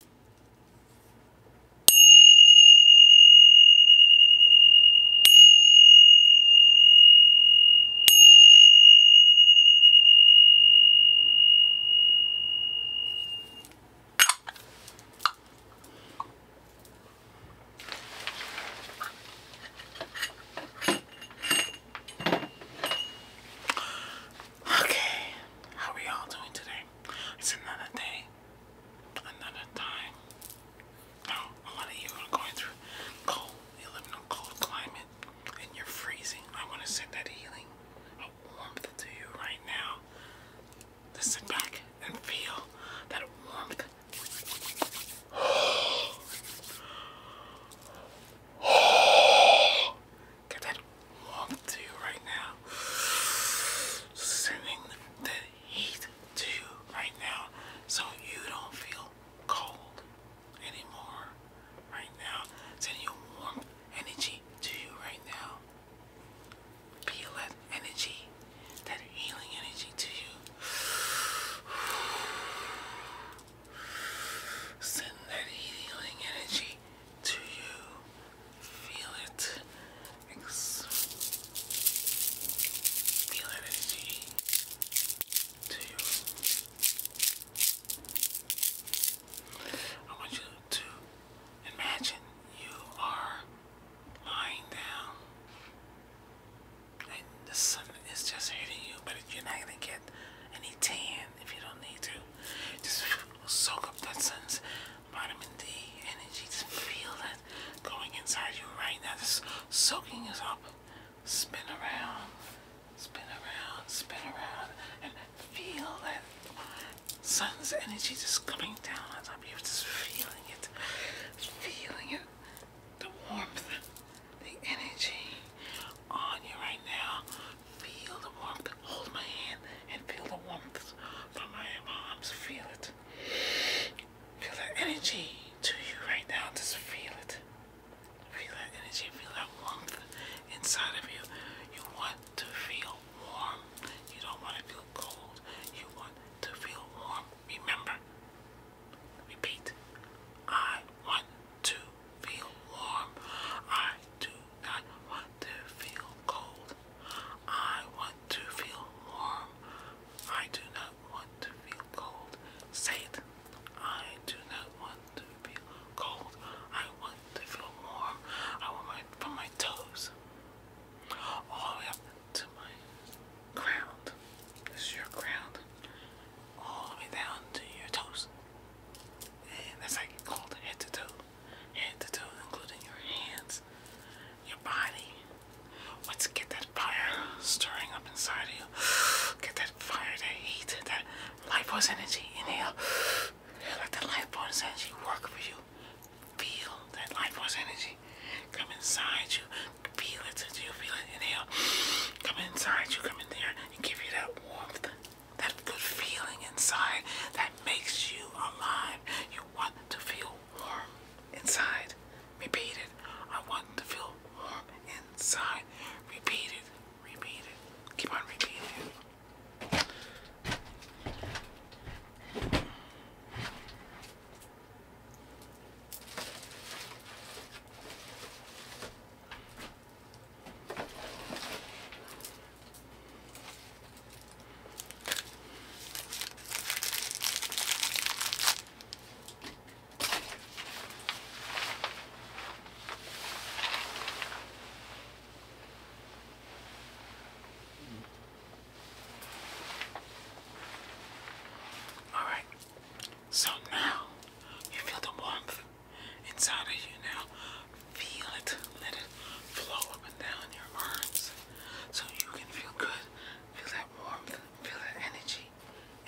Okay, how are y'all doing today? It's another day. Another time. Now, a lot of you are going through cold. You live in a cold climate and you're freezing. I want to send that healing, a warmth to you right now. To back and feel that warmth. Oh. Get that warm to you right now. Sending the heat to you right now so you don't feel cold anymore right now. Sending warm energy to you right now. Feel that energy, that healing energy to you. Send that healing energy do you feel it? feel that energy? Do you? I want you to imagine you are lying down and the sun is just hitting you, but you're not gonna get any tan if you don't need to. Just we will soak up that sun's vitamin D energy. Just feel that going inside you right now. Just soaking is up. Spin around, spin around, spin around, and feel that sun's energy just coming down on top of you. Just feeling it, feeling it. The warmth, the energy on you right now. Feel the warmth. Hold my hand and feel the warmth from my arms. Feel it. Feel that energy to you right now. Just feel it. Feel that energy. Feel that warmth inside of you. You want to feel warm. You don't want to feel cold. You want to feel warm. Remember. Repeat. I want to feel warm. I do not want to feel cold. I want to feel warm. I do not want to feel cold. Say it. I do not want to feel cold. I want to feel warm. I want my from my toes all the way up to my ground. This is your ground. All the way down to your toes and that's like cold head to toe, head to toe, including your hands, your body. Let's get that fire stirring up inside of you. Get that fire, that heat, that life force energy. Inhale. Let that life force energy work for you. Feel that life force energy come inside you. Feel it. Do you feel it? Inhale. Come inside you. Come in there and give you that warmth, that good feeling inside that makes you alive. You want to feel warm inside. Repeat it. I want to feel warm inside. Repeat it. Repeat it. Keep on repeating all right, so now you feel the warmth inside of you now. Feel it. Let it flow up and down your arms so you can feel good. Feel that warmth. Feel that energy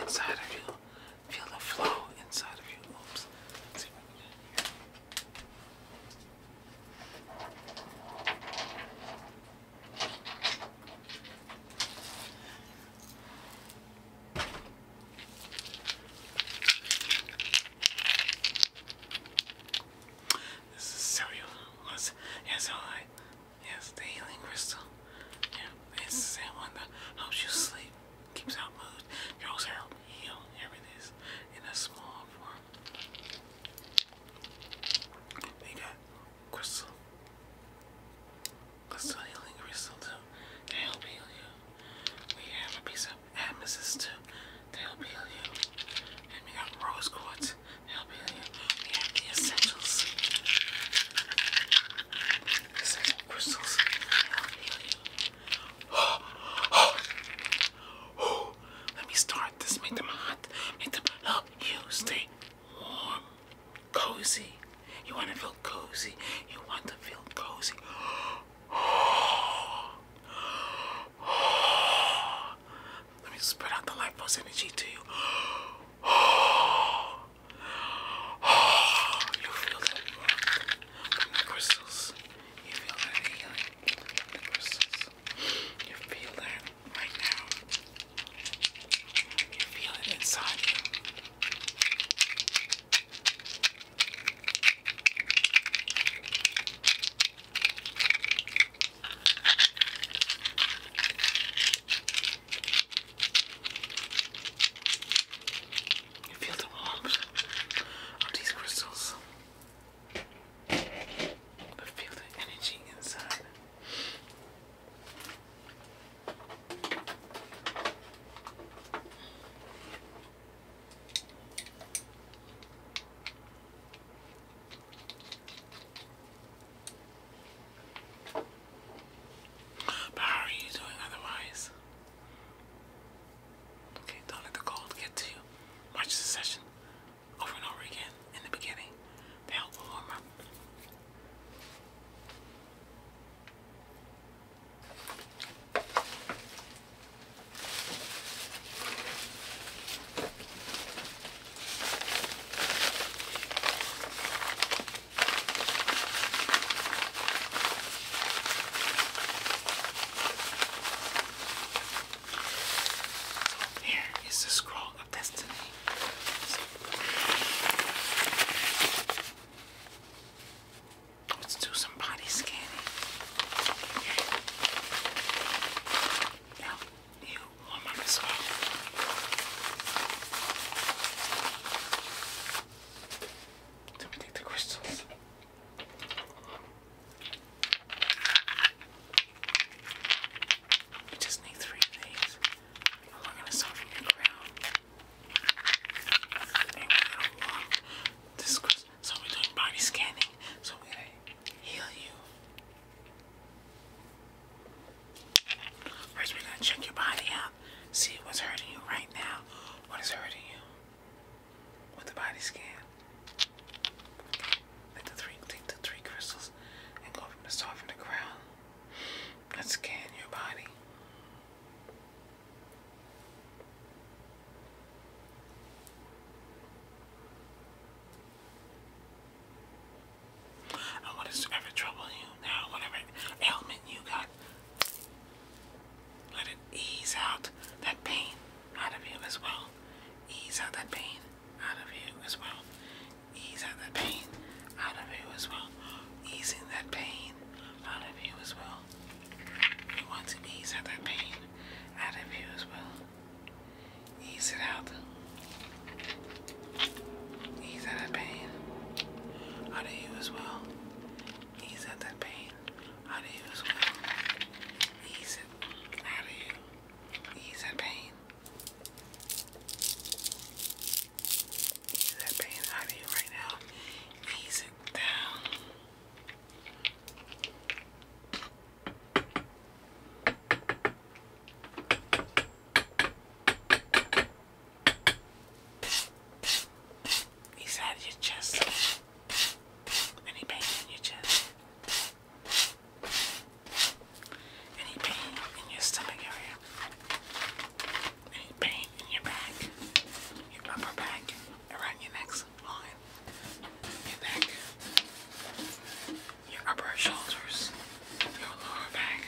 inside of you. Feel the flow inside of you. Oops. This is cellular. Yes, yes, all right. Yes, the healing crystal. Yeah, it's the same one that helps you sleep, keeps out mood, draws help, heal. Here in a small form. They got crystal. Crystal healing crystal too. They help heal you. We have a piece of amethyst too to help heal you. And we got rose quartz to help heal you. We have the essentials. Essential crystals to help heal you. Oh, oh, oh. Let me start this. Make them hot. Make them help you stay warm, cozy, you want to feel cozy. You want to feel cozy. Let me spread out the life force energy to you. You feel that warmth from the crystals. You feel that healing from the crystals. You feel that right now. You feel it inside you. You feel the warmth of these crystals. But feel the energy inside. But how are you doing otherwise? Okay, don't let the cold get to you. Watch the session over and over again in the beginning. They help warm up. Here is the scroll of destiny. Let's do some body scanning. Okay. Now, you warm up as well. Let me take the crystals. We just need three things. Along and a soften your crown this Christmas. So we're doing body scanning. So we're gonna heal you. First, we're gonna check your body out. See what's hurting you right now. What is hurting you? With the body scan. Take the three, take the three crystals, and go from the top from the ground. Let's scan your body. And what is ever troubling you now, whatever ailment you got, let it ease out that pain out of you as well. Ease out that pain out of you as well. Ease out that pain out of you as well. Easing that pain pain out of you as well. We want to ease out that pain out of you as well. Ease it out. Ease out that pain out of you as well. Ease out that pain out of you as well. Ease it out of you. Ease that pain Ease that pain out of right now. Ease it down. Ease out of your chest. Any pain in your chest. Any pain in your stomach area. Any pain in your back, your upper back, around your neck's your neck, your upper shoulders, your lower back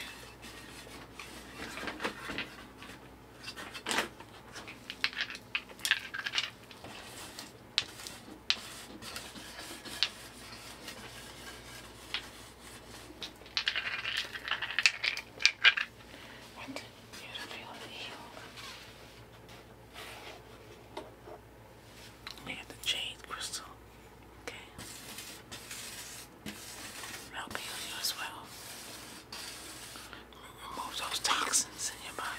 and you will feel healed. We have the jade crystal. Okay. Help heal you as well. Remove those toxins in your body.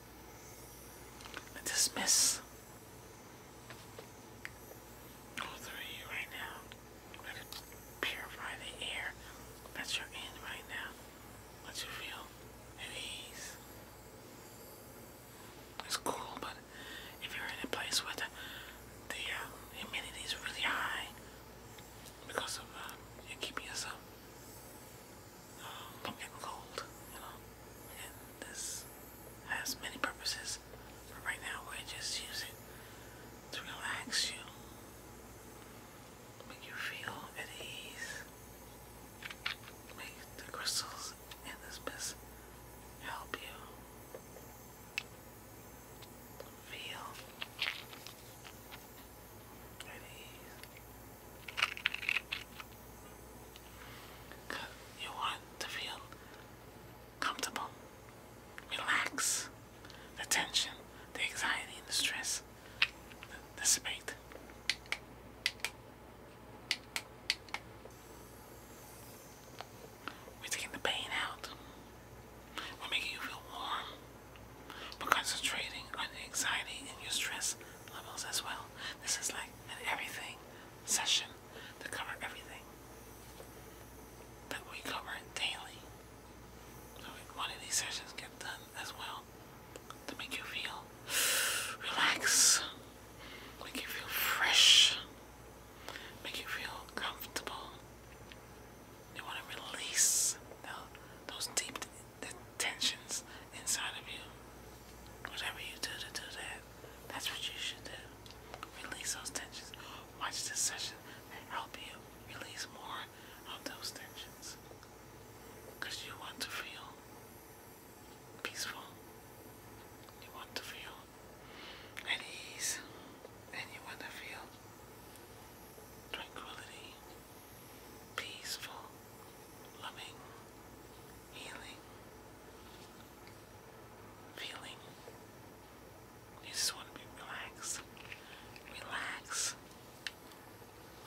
dismiss all three right now. I could purify the air that you're right now. Let you feel at ease. It's cool, but if you're in a place where the, uh, humidity is really high because of uh, you keeping yourself um, I'm getting cold, you know. this has many purposes, but right now we just use it to relax you, make you feel at ease, make the crystals in this mist help you feel you want to feel comfortable, relax, the tension, the anxiety, and the stress dissipate. We're taking the pain out. We're making you feel warm but concentrating on the anxiety and your stress levels as well. This is like an everything session to cover everything that we cover daily. So one of these sessions get done as well to make you feel relaxed, make you feel fresh, make you feel comfortable. You want to release those deep the tensions inside of you. Whatever you do to do that, that's what you should do. Release those tensions. Watch this session and help you release more of those tensions. Because you want to feel peaceful. You want to feel at ease. And you want to feel tranquility peaceful, loving, healing feeling. You just want to be relaxed. Relax.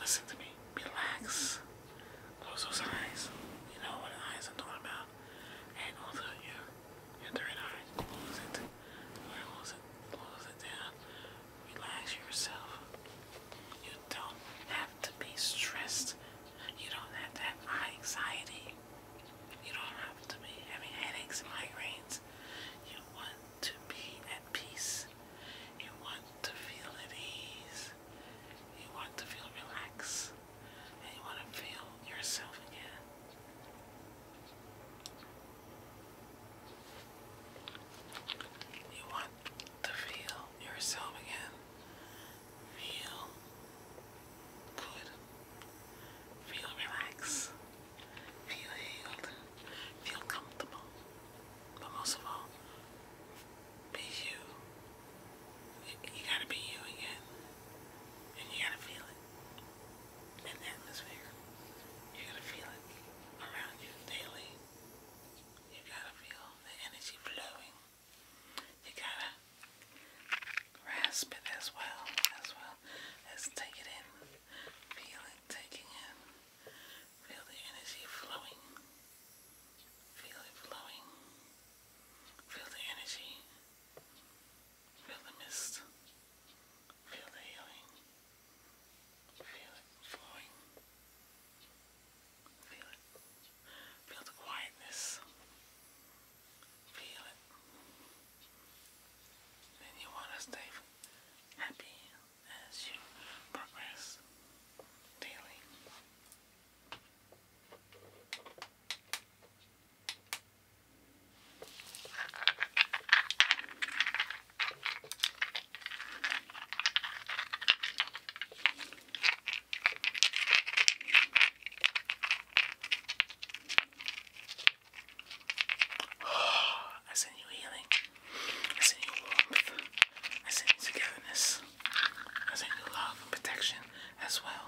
Listen to me. Relax. Close those eyes. You know what eyes i talking about. And also your your third eye. Close it. Close it. Close it down relax yourself. You don't have to be stressed. You don't have to have high anxiety. You don't have to be having headaches and migraines. You want to be at peace. You want to feel at ease. You want to feel relaxed. And you want to feel yourself again. You want to feel yourself again. Feel good. Feel relaxed. Feel healed. Feel comfortable. But most of all, be you. You gotta be you again. And you gotta feel it and atmosphere. You're gonna feel it around you daily. You gotta feel the energy flowing. You gotta grasp it as well, as well as take it in. Feel it taking in. Feel the energy flowing. Feel it flowing. Feel the energy. Feel the mist. Feel the healing. Feel it flowing. Feel it. Feel the quietness. Feel it. Then you want to stay happy as you progress daily. I send you healing. I send you warmth. I send togetherness. I send you love and protection as well.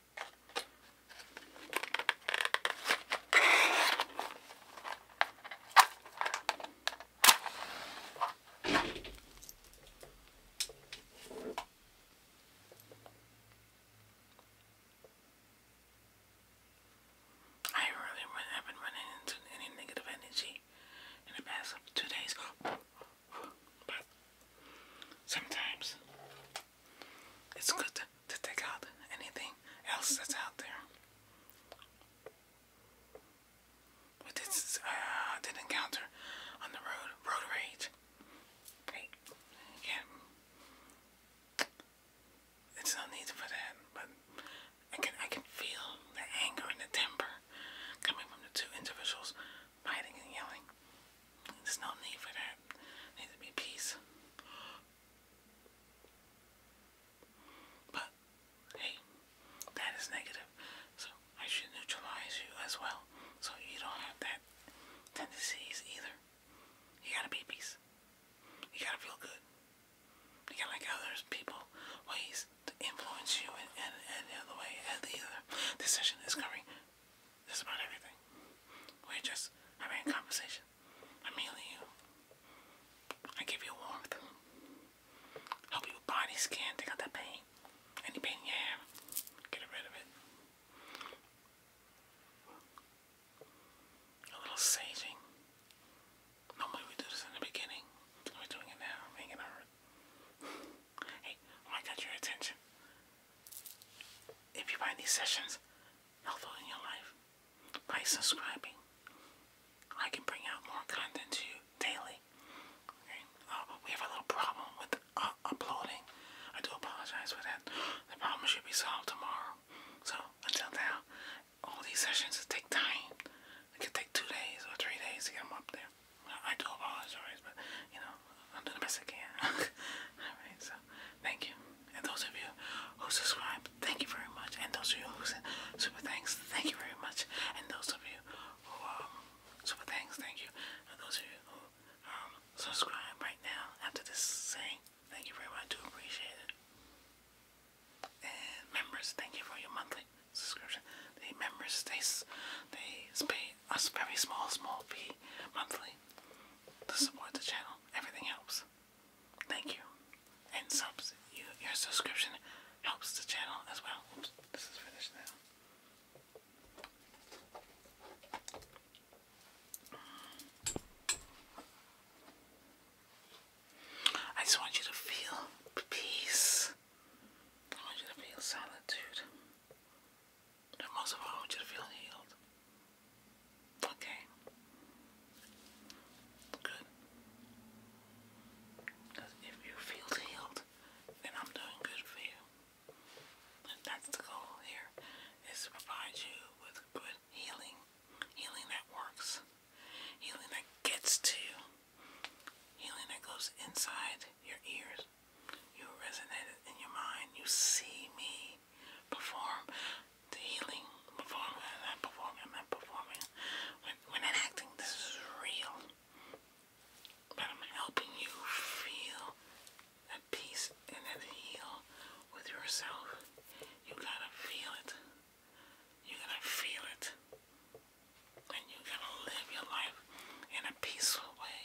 I really haven't run into any negative energy in the past two days. But sometimes it's good to, take out anything else that's out there. But this uh, I did encounter on the road, road rage. Hey, yeah, it's no need for that, but I can I can feel the anger and the temper coming from the two individuals fighting and yelling. There's no need for that. There needs to be peace. But hey, that is negative. So I should neutralize you as well. So you don't have that tendencies either. You gotta be peace. You gotta feel good. You gotta like other people ways to influence you in, in, other way. And the other decision is coming that's about everything. We're just having a conversation. I'm healing you. I give you warmth. Help you body, skin, take out that pain. Any pain you have, get rid of it. A little saging. Normally we do this in the beginning. We're doing it now, making it Hey, when I got your attention, if you find these sessions helpful in your life, by subscribing, I can bring out more content to you daily. Okay. Uh, we have a little problem with uh, uploading. I do apologize for that. The problem should be solved tomorrow. So until now, all these sessions take time. It could take two days or three days to get them up there. I do apologize, alright, but you know, I'm doing the best I can. alright, so thank you. And those of you who subscribe, thank you very much. And those of you who send super thanks, thank you very much. And those of you who um super thanks, thank you. And those of you who um subscribe right now after this saying, thank you very much, I do appreciate it. And members, thank you for your monthly subscription. The members they they pay a very small, small fee monthly to support the channel. Everything helps. Thank you. And subs, you, your subscription helps the channel as well. this is finished now. I just want you to feel peace. I want you to feel solitude. But most of all, I want you to feel healed. Okay. Good. Because if you feel healed, then I'm doing good for you. And that's the goal here, is provide you with good healing. Healing that works. Healing that gets to you. Healing that goes inside your ears. You resonate it in your mind. You see me perform the healing. Perform, i performing, i performing. We're, acting, this is real. But I'm helping you feel at peace and that heal with yourself. You gotta feel it. You gotta feel it and you're going to live your life in a peaceful way.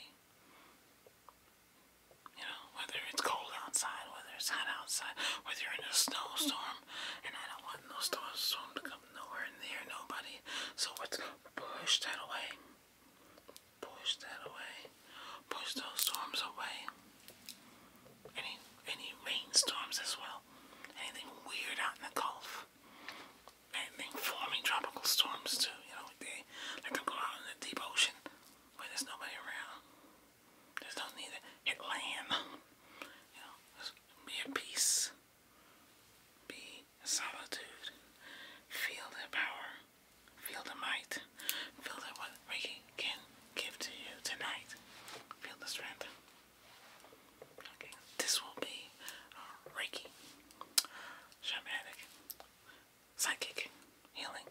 You know, whether it's cold outside, whether it's hot outside, whether you're in a snowstorm, and I don't want no snowstorm to come nowhere near nobody. So push that away. Push that away. Push those storms away. Any any rainstorms as well. Anything weird out in the Gulf anything forming tropical storms too, you know, they let them go out in the deep ocean where there's nobody around. There's no need to land. You know, be at peace. Be in solitude. Feel the power. Feel the might. Feel that what Reiki can give to you tonight. Feel the strength this will be uh, Reiki, Shamanic, Psychic, Healing.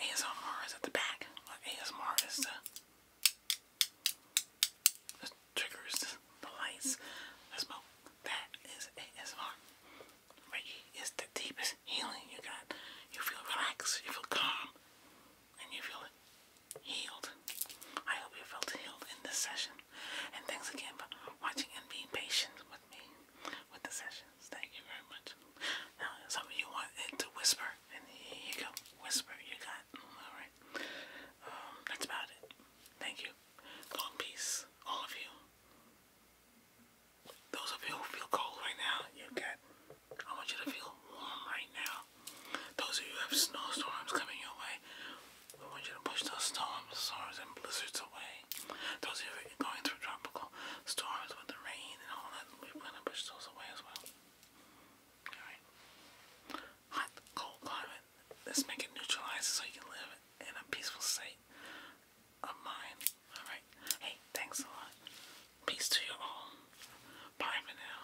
ASMR is at the back. ASMR is the, triggers, the, lights, That is ASMR. Reiki is the deepest healing you got. You feel relaxed, you feel calm, and you feel healed. I hope you felt healed in this session. And thanks again for watching and being patient with me with the sessions. Thank you very much. Now, some of you want it to whisper, and here you go. Whisper, you got. Alright. Um, that's about it. Thank you. Go in peace, all of you. Those of you who feel cold right now, you get. I want you to feel warm right now. Those of you who have snowstorms coming your way, we want you to push those storms, storms, and blizzards away. Those going through tropical storms with the rain and all that, we want to push those away as well. Alright. Hot, cold climate. Let's make it neutralized so you can live in a peaceful state of mind. Alright. Hey, thanks a lot. Peace to you all. Bye for now.